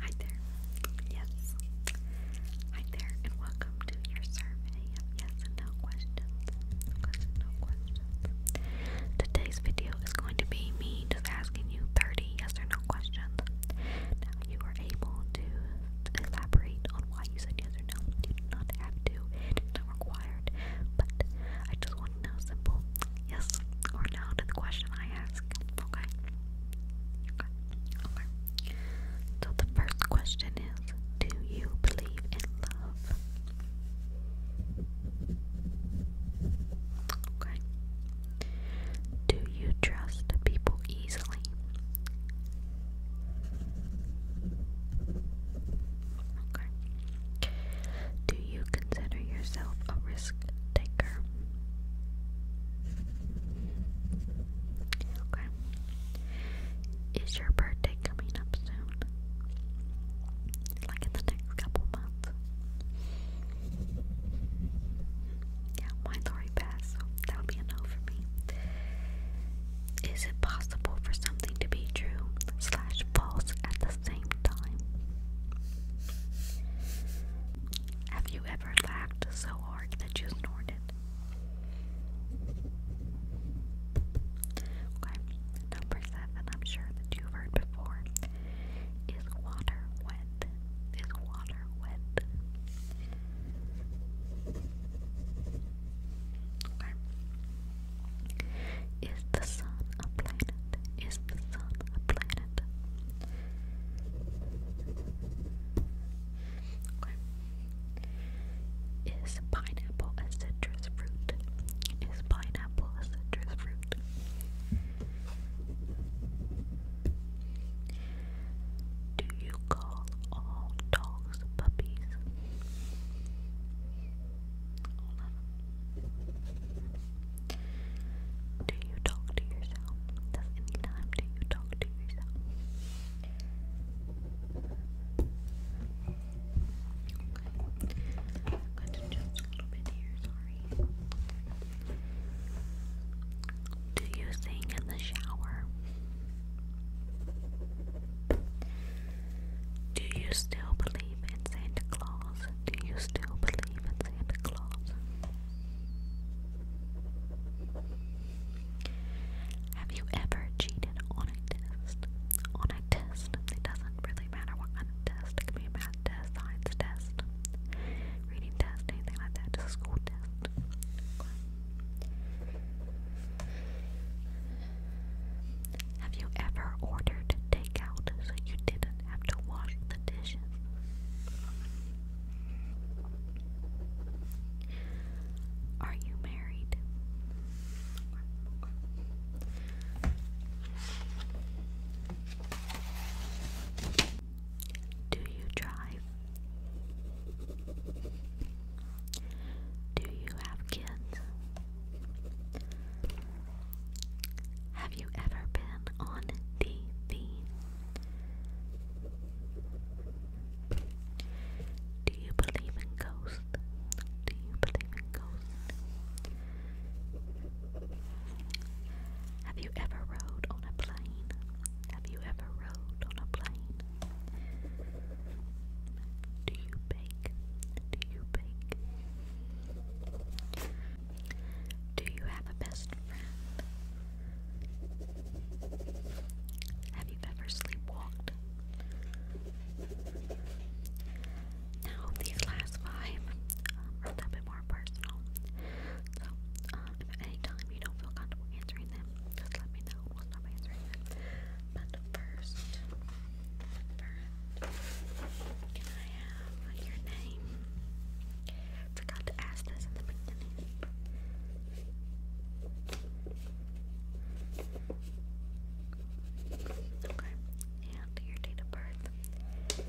Hi there. Yes. Hi there, and welcome to your survey of yes and no questions. Yes no questions. Today's video is going to be me just asking you 30 yes or no questions. Now, you are able to elaborate on why you said yes or no. You do not have to, it is not required, but I just want to know simple yes or no to the question I ask. Okay. Okay. Okay. So the first question is Do you believe in love? Okay. Do you trust people easily? Okay. Do you consider yourself a risk taker? Okay. Is your birthday coming up soon? Like in the next couple months? Yeah, mine's already passed, so that would be a no for me. Is it possible for something to be true slash false at the same time? the Have you ever laughed so hard that you snorted? Okay, number seven, I'm sure that you've heard before. Is water wet? Is water wet? Okay. Is the sun a planet? Is the sun a planet? Okay. Is pineapple a citrus fruit? Is pineapple a citrus fruit? Do you call all dogs puppies? 11. Do you talk to yourself? Does any do you talk to yourself? Okay. I'm going to jump a little bit here, sorry. Do you sing in the shower? Do you still believe in Santa Claus? Do you still believe in Santa Claus? Have you ever cheated on a test? On a test? It doesn't really matter what kind of test. It could be a math test, science test, reading test, anything like that. a school test. Have you ever ordered takeout so you didn't have to wash the dishes? Are you married? Do you drive? Do you have kids? Have you ever been on TV? Do you believe in ghosts? Do you believe in ghosts? Have you ever rode on a plane? Have you ever rode on a plane? Do you bake? Do you bake? Do you have a best friend? Have you ever sleepwalked? Now, these last five are a bit more personal. So, um, any time you don't feel comfortable answering them, just let me know. We'll stop answering it. But first, first, can I have your name? Forgot to ask this in the beginning. Okay, and your date of birth.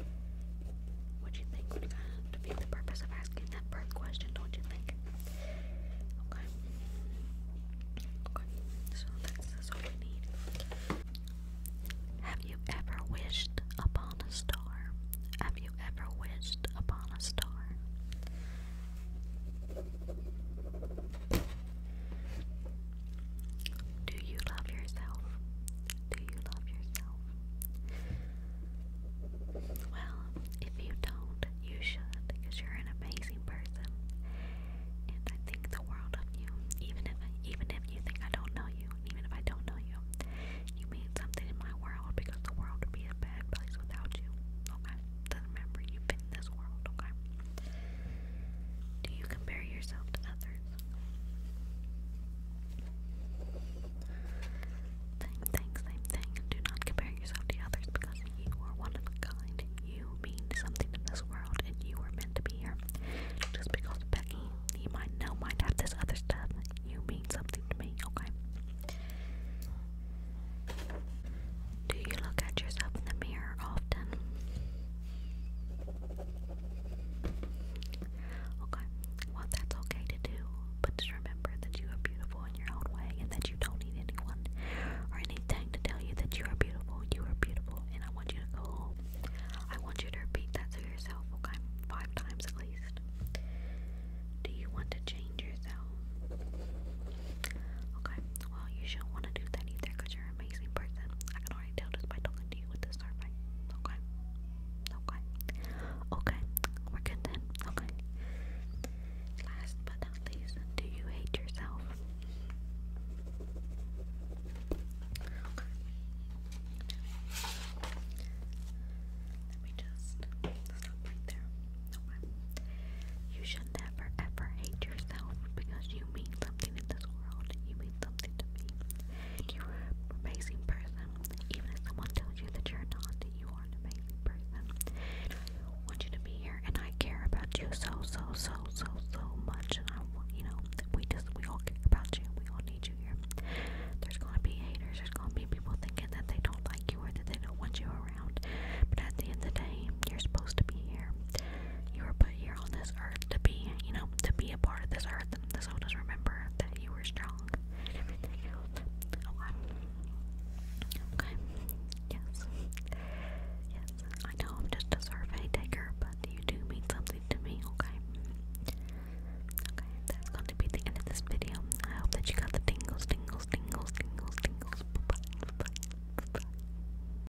What do you think? What kind defeat the purpose of asking that birth question, don't you think? Okay. Okay, so that's all we need. Have you ever wished upon a star? Have you ever wished upon a star? Do you love yourself? Do you love yourself? Well, if you don't, you should, because you're an amazing person, and I think the world of you. Even if even if you think I don't know you, even if I don't know you, you mean something in my world because the world would be a bad place without you. Okay, just remember you fit in this world. Okay. Do you compare yourself to others? Thing, thing, same thing. Do not compare yourself to others because you are one of a kind. You mean something in this world and you are meant to be here. Just because Becky, you might know, might have this other stuff, you mean something to me, okay? Do you look at yourself in the mirror often? Okay, well, that's okay to do, but just remember that you are beautiful in your own way and that you don't need anyone or anything to tell you that you are beautiful. You are beautiful, and I want you to go I want you to repeat that to yourself, okay? Five times at least. Do you want to change yourself? Okay, well, you shouldn't want to do that either because you're an amazing person you Okay. Okay. Okay. We're good then. Okay. Last but not least, do you hate yourself? Let me just stop right there. Okay. You should never ever hate yourself because you mean something in this world. You mean something to me. You're an amazing person. Even if someone tells you that you're not, you are an amazing person. I want you to be here, and I care about you so, so, so, so, so much. And I want, you know, we just, we all care about you. We all need you here. There's gonna be haters. There's gonna be people thinking that they don't like you or that they don't want you around. But at the end of the day, you're supposed to be here you were put here on this earth to be, you know, to be a part of this earth, and this soul does remember that you were strong oh, Okay. Yes. Yes. I know I'm just a survey taker, but you do mean something to me, okay? Okay, that's going to be the end of this video. I hope that you got the tingles, tingles, tingles, tingles, tingles. -bye. Bye -bye. Bye -bye.